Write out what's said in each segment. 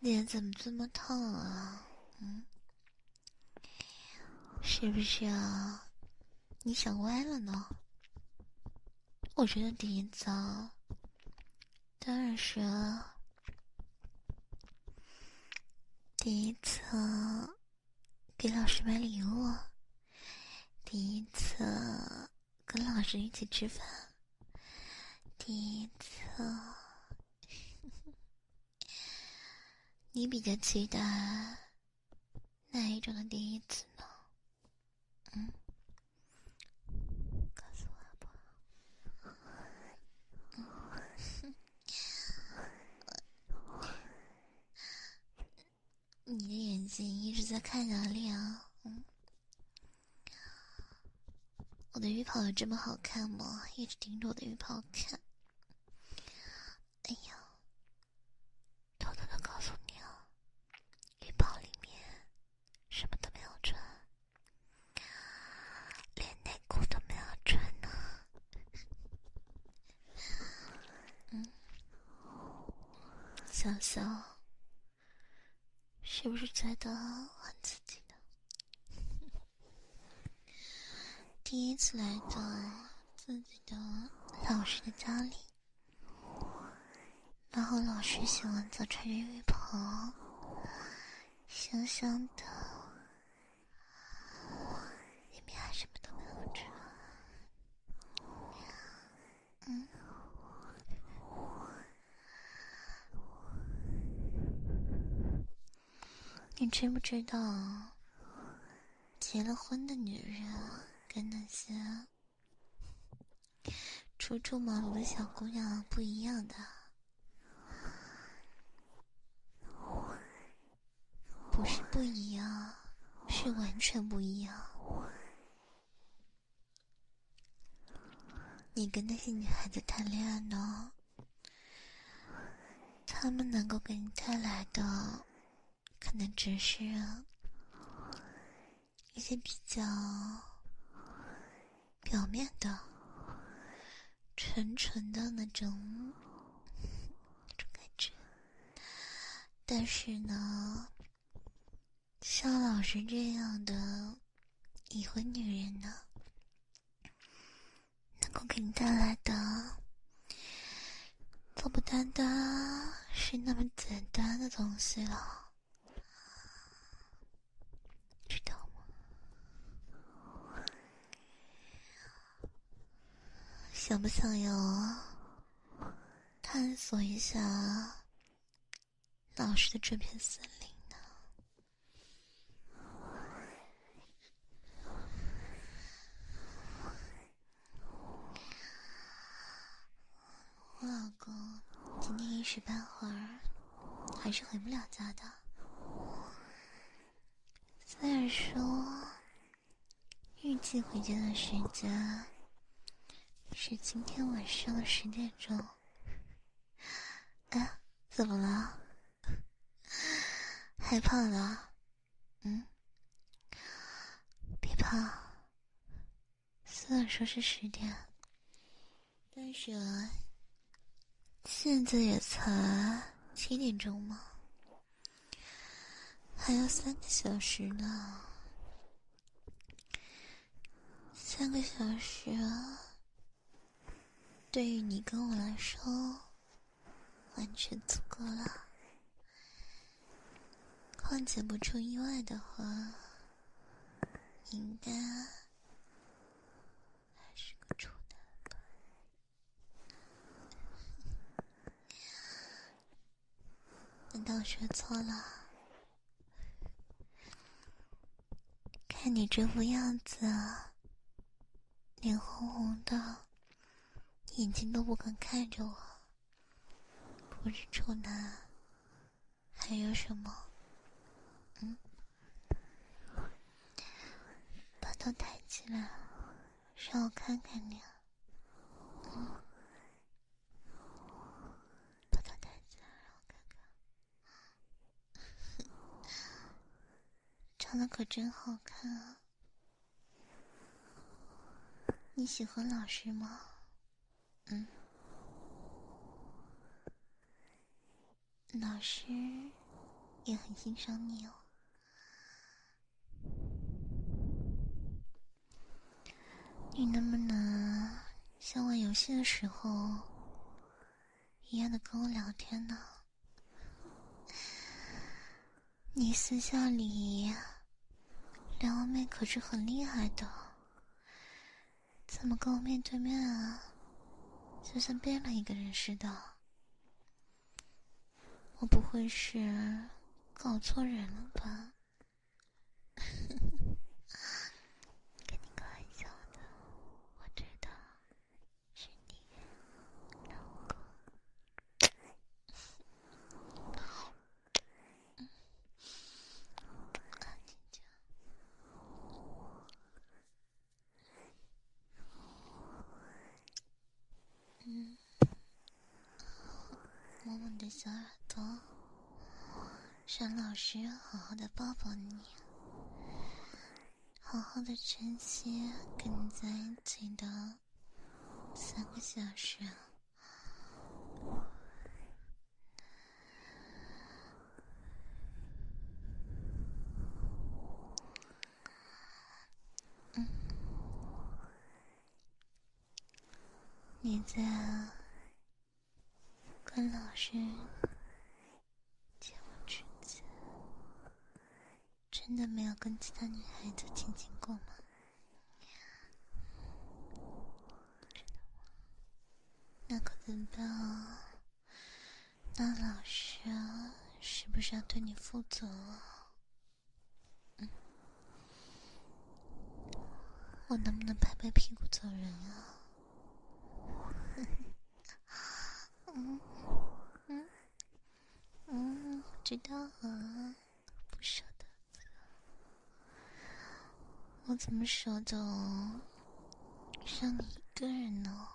脸怎么这么烫啊？嗯，是不是啊？你想歪了呢？我觉得第一次，当然是第一次给老师买礼物，第一次。跟老师一起吃饭，第一次。你比较期待哪一种的第一次呢？嗯，告诉我好不好？你的眼睛一直在看哪里啊？嗯，我的浴袍有这么好看吗？一直盯着我的浴袍看。哎呀，偷偷的告诉你啊，浴袍里面什么都没有穿，连内裤都没有穿呢。嗯。想想，是不是觉得很刺激呢？第一次来到自己的老师的家里，然后老师洗完澡穿着浴袍，香香的，里面还什么都没有穿。嗯，你知不知道，结了婚的女人跟那些初出茅庐的小姑娘不一样的？不是不一样，是完全不一样。你跟那些女孩子谈恋爱呢，他们能够给你带来的，可能只是一些比较表面的、纯纯的那种种感觉。但是呢，像老师这样的已婚女人呢，能够给你带来的，都不单单是那么简单的东西了，知道吗？想不想要探索一下老师的这片森林呢？我老公今天一时半会儿还是回不了家的，然说。预计回家的时间是今天晚上的十点钟。哎，怎么了？害怕了？嗯，别怕。虽然说是十点，但是现在也才七点钟吗？还有三个小时呢，三个小时啊，对于你跟我来说，完全足够了。况且不出意外的话，应该还是个处男吧。难道学错了？看你这副样子，脸红红的，眼睛都不敢看着我。不是处男，还有什么？嗯？把头抬起来，让我看看你。把头抬起来，让我看看。长得可真好看啊！你喜欢老师吗？嗯。老师也很欣赏你哦。你能不能像玩游戏的时候一样的跟我聊天呢？你私下里撩妹可是很厉害的。怎么跟我面对面啊？就像变了一个人似的。我不会是搞错人了吧？你的，我知道是你，嗯，嗯，摸摸你的小耳朵，让老师好好的抱抱你，好好的珍惜跟你在一起的三个小时。嗯，你在跟老师接吻之前，真的没有跟其他女孩子亲亲过吗？那可怎么办？啊？那老师是不是要对你负责？嗯，我能不能拍拍屁股走人啊？嗯嗯嗯，知道啊，不舍得。我怎么舍得让你一个人呢？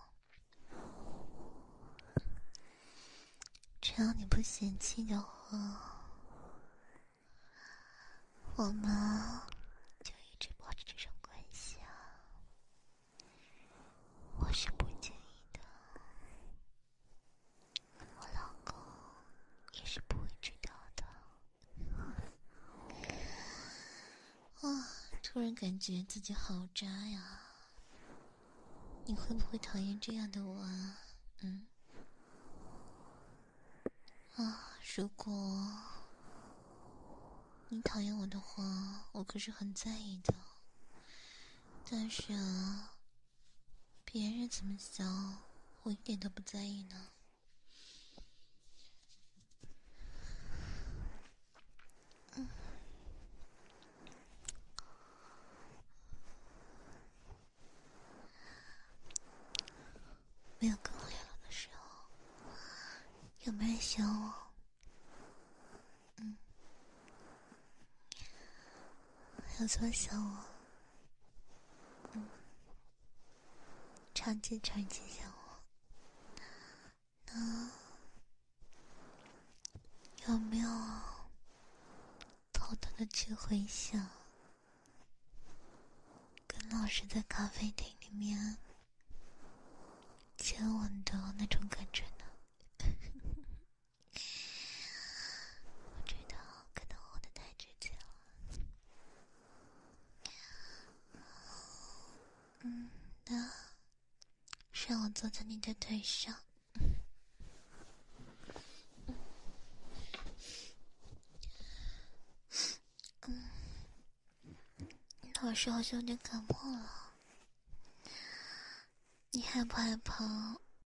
只要你不嫌弃的话，我们就一直保持这种关系啊。我是不介意的，我老公也是不会知道的。啊，突然感觉自己好渣呀！你会不会讨厌这样的我啊？嗯，啊，如果你讨厌我的话，我可是很在意的。但是，别人怎么想，我一点都不在意呢。没有更累了的时候，有没有人喜欢我？嗯。有多想我，嗯，超级超级想我。那有没有偷偷的去回想，跟老师在咖啡厅里面接吻的那种感觉呢？我知道，可能我的太直接了。嗯，那让我坐在你的腿上。嗯，你老师好像有点感冒了，你害不害怕？